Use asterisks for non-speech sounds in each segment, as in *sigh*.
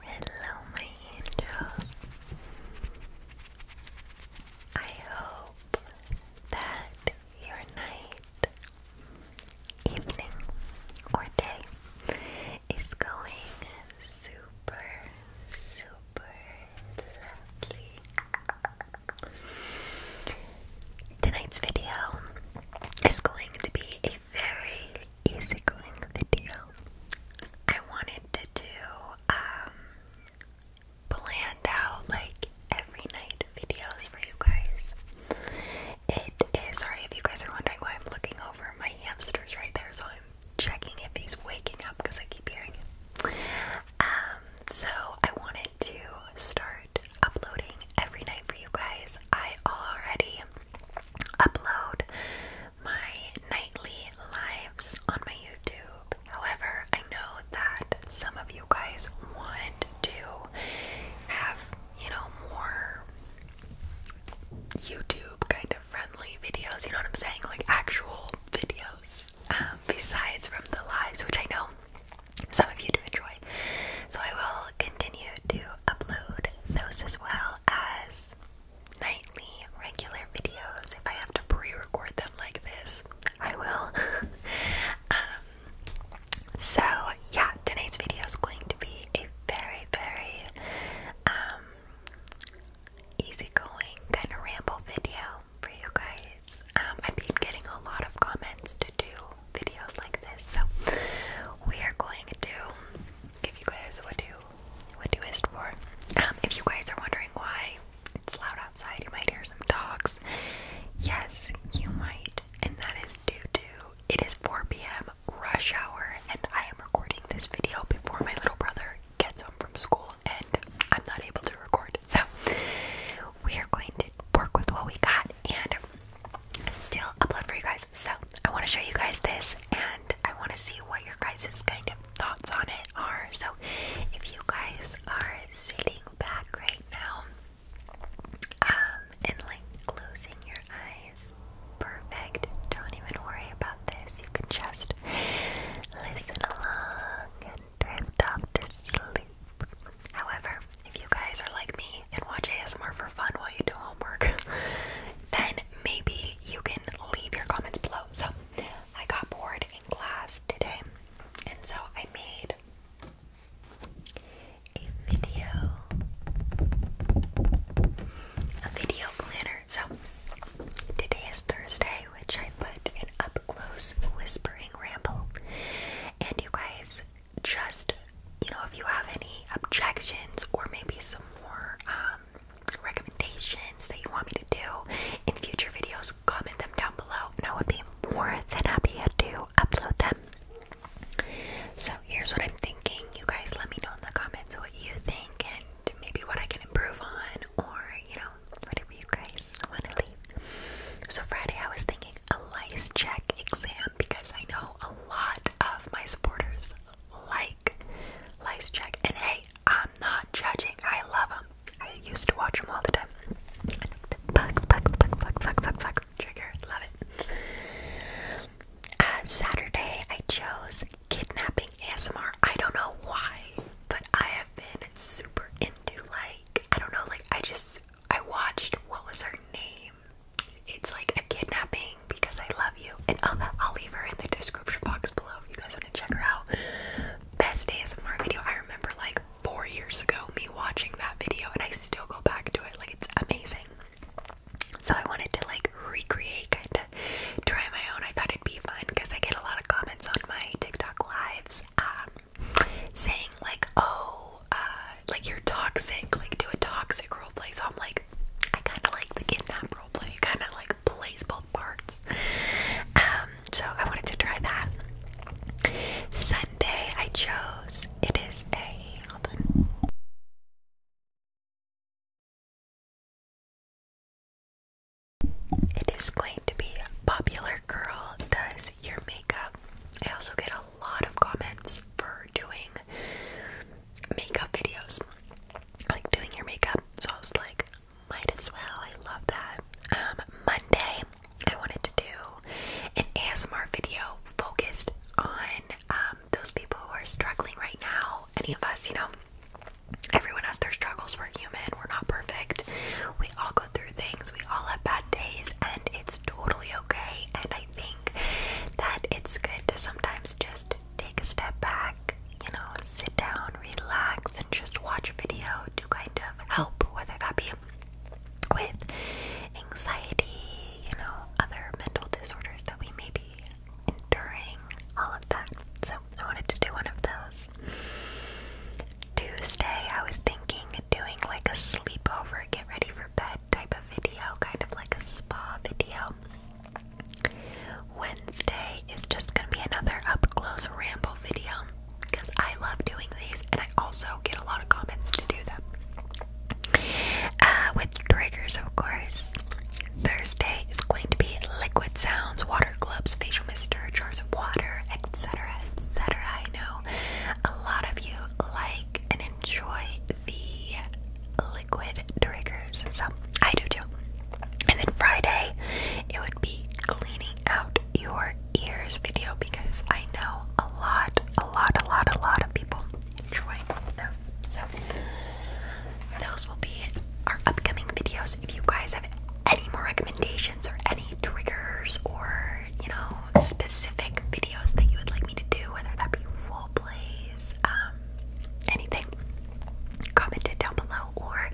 Hello, my angels. I hope that your night, evening, or day is going super, super lovely. Tonight's video is going to be a very easygoing video. I wanted to do um, planned out like every night videos for you guys. It is sorry if you guys are wondering why I'm looking over my hamsters right there, so I'm checking if he's waking up because I keep hearing him. Um, so I wanted to start uploading every night for you guys. I already upload my nightly lives on my YouTube. However, I know that some of you guys want to have, you know, more YouTube kind of friendly videos, you know what I'm saying? Like actual videos um, besides from the lives, which I know some of you to enjoy. So I will continue to upload those as well as nightly regular videos. If I have to pre-record them like this, I will. *laughs* Um, so yeah, tonight's video is going to be a very, very um, easygoing kind of ramble video for you guys. Um, I've been getting a lot of comments to do videos like this, so we are going to give you guys what you what you asked for. Um, if you guys are wondering why it's loud outside, you might hear some dogs. Yes, you might, and that is due to it is 4 p.m. rush hour, and I am recording this video before my little brother gets home from school and I'm not able to record. So we are going to work with what we got and still upload for you guys. So I want to show you guys this and I want to see what your guys's kind of thoughts on it are. So if you guys are sitting back right now um, and like closing your eyes, perfect. Don't even worry about this. You can just listen along and However, if you guys are like me and watch ASMR for fun while you do homework, *laughs* then maybe you can leave your comments below. So, I got bored in class today, and so I made a video, a video planner. So, today is Thursday which I put an up close whispering ramble. And you guys, just you know, if you have any objections or maybe some more um, recommendations that you want me to do in future videos, comment them down below, and I would be more than happy to upload them. So here's what I'm thinking. You guys, let me know in the comments what you think and maybe what I can improve on, or you know, whatever you guys want to leave. So Friday, I was thinking a lice check exam because I know a lot of my supporters like lice check, and hey, I'm not judging. I love them. I used to watch them all the time. I think the bugs, bugs, bugs, bugs, trigger. Love it. Uh, Saturday, I chose kidnapping ASMR. I don't know why, but I have I've been super into like I don't know, like I just I watched what was her name? It's like a kidnapping because I love you, and I'll, oh, I'll leave her in the description box below if you guys want to check her out. Best ASMR video I remember like four years ago me watching that video, and I still go back to it. Like it's amazing. So I wanted to like recreate kind of try my own. I thought it'd be fun because I get a lot of comments on my TikTok lives um, saying, like, oh, uh, like you're toxic, like do a toxic role play." So I'm like, I kind of like the kidnap role play. kind of like plays both parts. Um, so I wanted to try that. Sunday, I chose, it is a, it is going to be Popular Girl Does Your Makeup. I also get a lot of comments for doing makeup videos, like doing your makeup. So I was like, might as well. I love that. Um, Monday, I wanted to do an ASMR video focused on um, those people who are struggling right now. Any of us, you know, Everyone has their struggles. We're human. We're not perfect. We all go through things. We all have bad days, and it's totally okay. And I think that it's good to sometimes just take a step back, you know, sit down, relax, and just watch a video to kind of help, whether that be with anxiety, you know, other mental disorders that we may be enduring, all of that. So I wanted to do one of those. Tuesday, I was thinking doing like a sleepover, get ready for bed type of video, kind of like a spa video. Wednesday is just gonna be another up close ramble video because I love doing these and I also get a lot of comments to do them. Uh, with triggers, of course. Thursday is going to be liquid sounds, water gloves, facial mister, jars of water, etc. etc. I know a lot of you like and enjoy the liquid triggers, so I do too. And then Friday, it would be cleaning out your ears video because I know a lot, a lot, a lot, a lot of people enjoy those. So those will be our upcoming videos. If you guys have any more recommendations or any triggers or, you know, specific videos that you would like me to do, whether that be role plays, um, anything, comment it down below. Or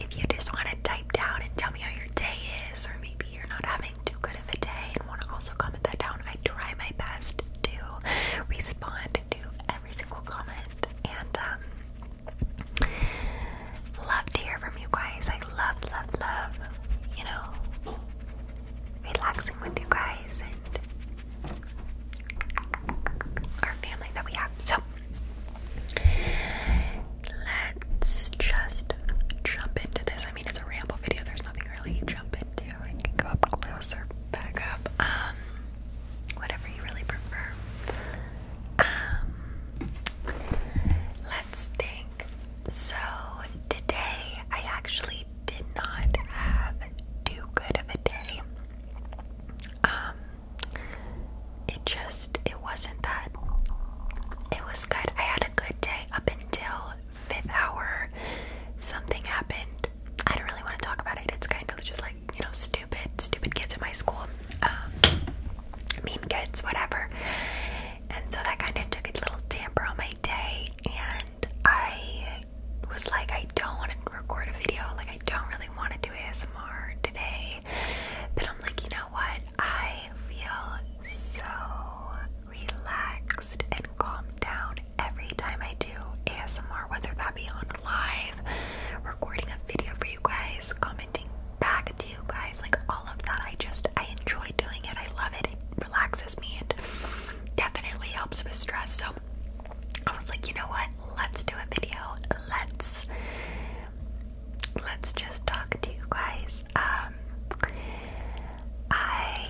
if you just want to type down and tell me how your day is, or maybe you're not having too good of a day and want to also comment that down, I try my best to respond to every single comment, and um, love to hear from you guys. I love, love, love, you know, relaxing with you guys and our family that we have. So let's just jump into this. I mean, it's a ramble video. There's nothing really you jump into. I can go up closer, back up. Um, whatever you really prefer. Um, let's think. So today I actually did not have too good of a day. Um, it just it wasn't that. It was good. I had a good day up until fifth hour. Something happened I don't really want to talk about it. It's kind of just like, you know, stupid, stupid kids in my school, um, mean kids, whatever. And so that kind of took a little damper on my day. And I was like, I don't want to record a video. Like, I don't really want to do ASMR today. But I'm like, you know what? I feel so relaxed and calm down every time I do ASMR, whether that be on live, recording a video for you guys, commenting back to you guys, like all of that. I just I enjoy doing it. I love it. It relaxes me and definitely helps with stress. So I was like, you know what? Let's do a video. Let's let's just talk to you guys. Um I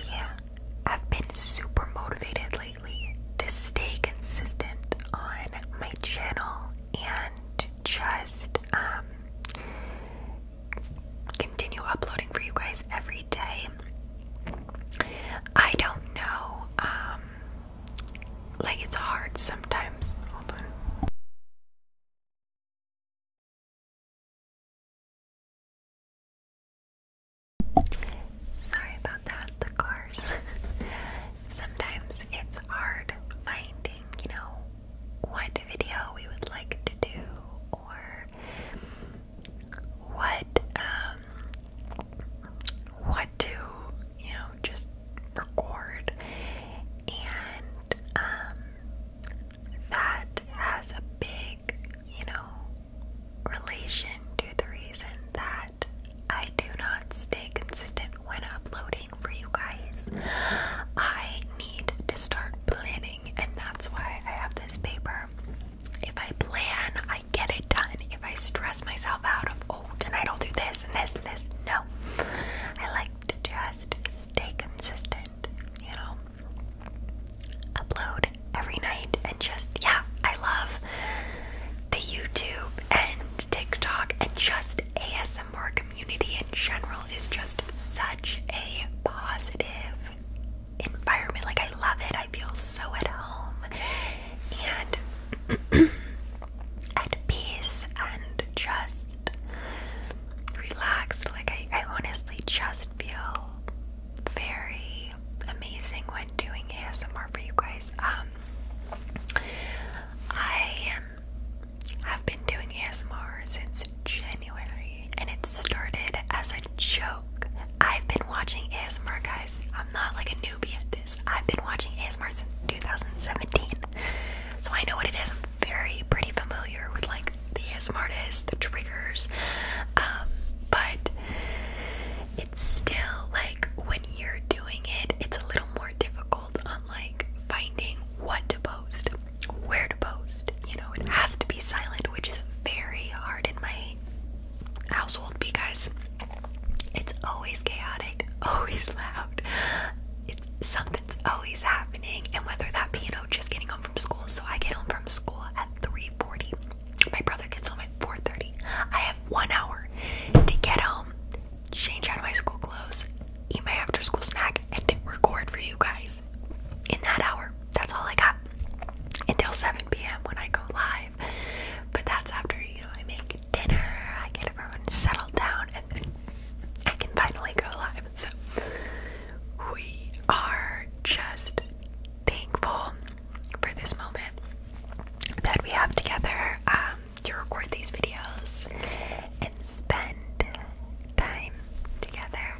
I've been super motivated lately to stay consistent on my channel and just um, continue uploading for you guys every day. I don't know, um, like it's hard sometimes. Sorry about that, the cars. *laughs* Sometimes it's hard finding, you know, what video we would like to do or what um what to, you know, just record. And um that has a big, you know, relation to the reason that I do not stay consistent when uploading for you guys. I need to start planning, and that's why I have this paper. If I plan, I get it done. If I stress myself out of, oh, tonight I'll do this and this and this, no. I like to just stay consistent, you know? upload every night and just yeah, I love the YouTube and TikTok and just ASMR community in general is just such a positive environment. Like I love it. I feel so at home and *clears throat* at peace and just relaxed. Like I, I honestly just feel very amazing when doing ASMR for you guys. Um, I have been doing ASMR since January, and it started as a joke. I've been watching ASMR, guys. I'm not like a newbie at this. I've been watching ASMR since 2017, so I know what it very pretty familiar with like the ASM the triggers, um, but it's still like when you're doing it, it's a little more difficult on like finding what to post, where to post. You know, it has to be silent, which is very hard in my household because it's always chaotic, *laughs* always loud. It's something it's always happening, and whether that be you know just getting home from school. So I get home from school at 3:40. My brother gets home at 4:30. I have one hour to get home, change out my school clothes, eat my after-school snack, and record for you guys. In that hour, that's all I got until 7 p.m. when I go live. But that's after you know I make dinner, I get everyone settled down, and I can finally go live. So we are just thankful for this moment that we have together um, to record these videos and spend time together.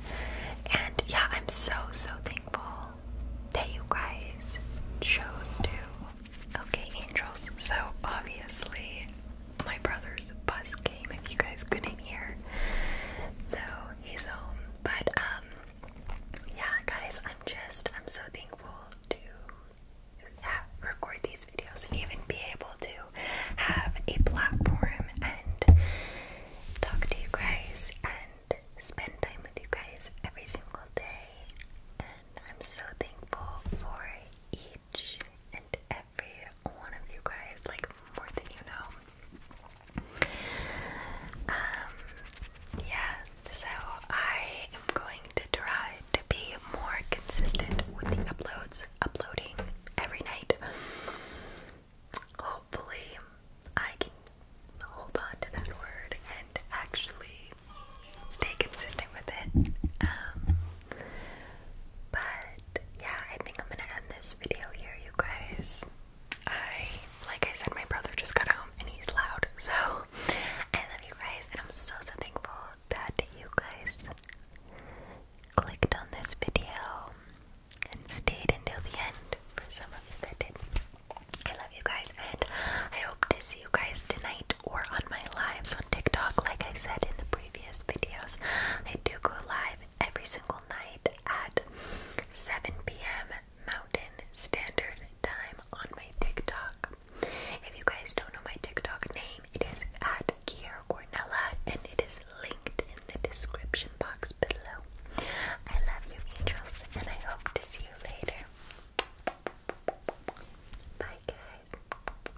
And yeah, I'm so, so thankful that you guys chose to. Okay, angels. So obviously, my brother's bus game. if you guys couldn't hear. So he's home. But um yeah guys, I'm just I'm so thankful to record these videos and even be able to have a platform and talk to you guys and spend time with you guys every single day. And I'm so thankful for it and every one of you guys, like more than you know. Um, yeah, so I am going to try to be more consistent with the uploads, uploading every night. Hopefully, I can hold on to that word and actually stay consistent with it. Um, but yeah, I think I'm gonna end this video here, you guys. I, like I said, my brother just got home and he's loud. *laughs* So I love you guys, and I'm so so thankful that you guys clicked on this video and stayed until the end. For some of you that did, I love you guys, and I hope to see you guys tonight or on my live. TikTok, like I said in the previous videos. I do go live every single night at 7 p.m. Mountain Standard Time on my TikTok. If you guys don't know my TikTok name, it is at Kier Cornella and it is linked in the description box below. I love you, angels, and I hope to see you later. Bye, guys.